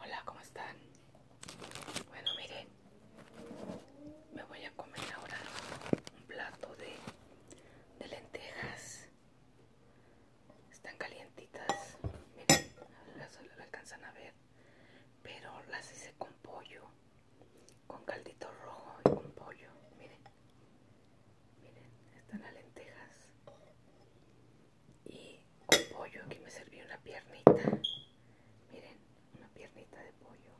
Hola, ¿cómo están? Bueno, miren, me voy a comer ahora un plato de, de lentejas. Están calientitas, miren, las, lo alcanzan a ver, pero las hice con pollo, con caldito rojo y con pollo, miren. Miren, están las lentejas y pollo aquí me serví una piernita miren una piernita de pollo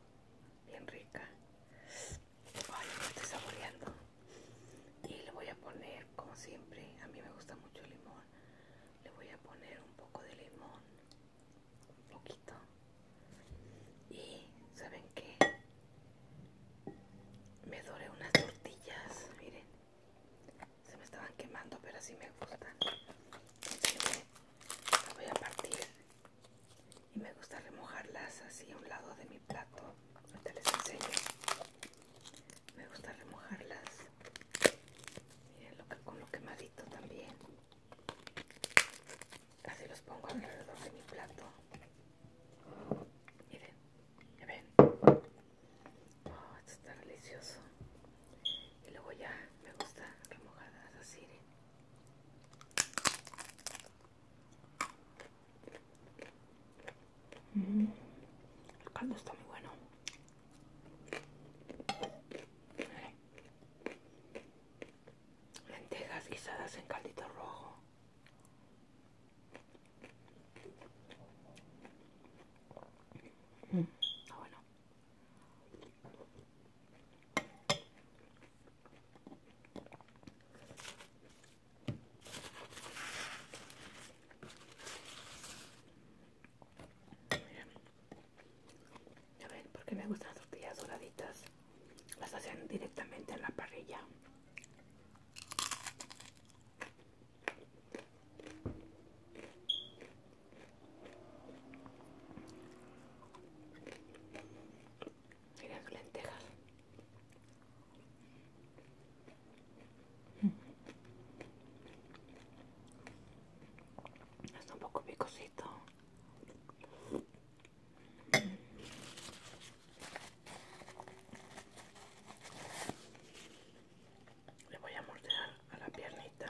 bien rica ay estoy saboreando y le voy a poner como siempre a mí me gusta mucho el limón le voy a poner un poco de limón un poquito y saben qué? me doré unas tortillas miren se me estaban quemando pero así me gustan voy a partir y me gusta remojarlas así a un lado de mi plato ahorita les enseño me gusta remojarlas miren con lo quemadito también así los pongo alrededor de mi plato Miren, ya ven? Oh, esto está delicioso. Y luego ya me gusta remojadas así, mm, el caldo está muy bueno. Lentejas guisadas en caldito rojo. Mm, bueno. Ya ven, porque me gustan las tortillas doraditas. Las hacen directamente en la parrilla. Miren lentejas. Mm. Está un poco picosito. Le voy a mordear a la piernita.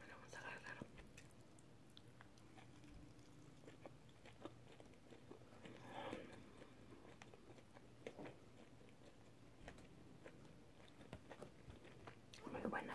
Me lo vamos a agarrar. Muy buena.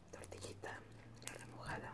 tortillita remojada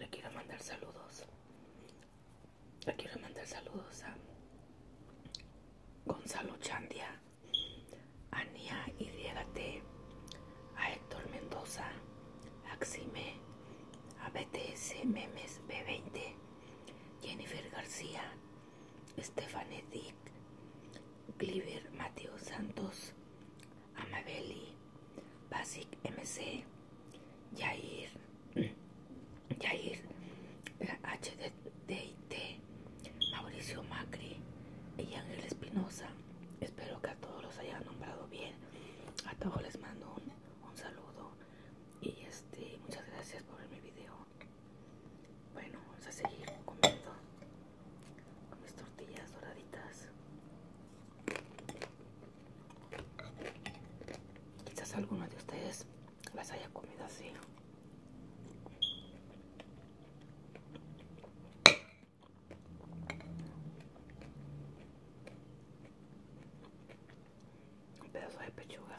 le quiero mandar saludos. Le quiero mandar saludos a Gonzalo Chandia, a Nia Iriégate, a Héctor Mendoza, a Xime, a BTS Memes B20, Jennifer García, Stephanie Dick, Gliver Mateo Santos, Amabeli, Basic MC, Yair, Yair, HDIT, Mauricio Macri y Ángel Espinosa. Espero que a todos los haya nombrado bien. A todos les mando un, saludo y este muchas gracias por ver mi video. Bueno, vamos a seguir comiendo con mis tortillas doraditas. Quizás alguno de ustedes las haya comido así. Un pedazo de pechuga.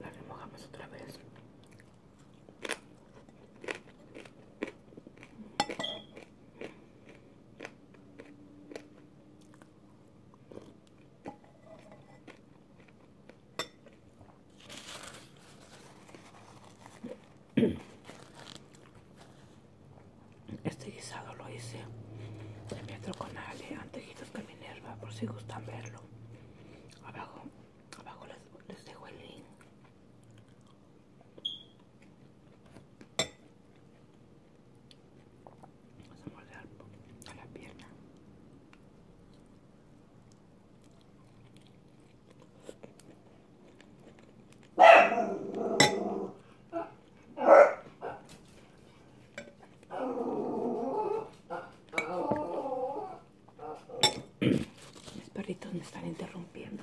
La remojamos otra vez. Este guisado lo hice de metro con ale, antejitos que por si gustan verlo abajo abajo les, dejo el link vamos a a la pierna mis perritos me están interrumpiendo.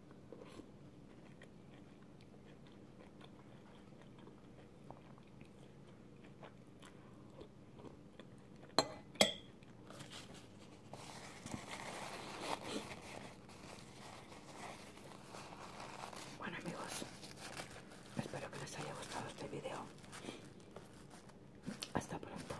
Bueno amigos, espero que les haya gustado este video. Hasta pronto.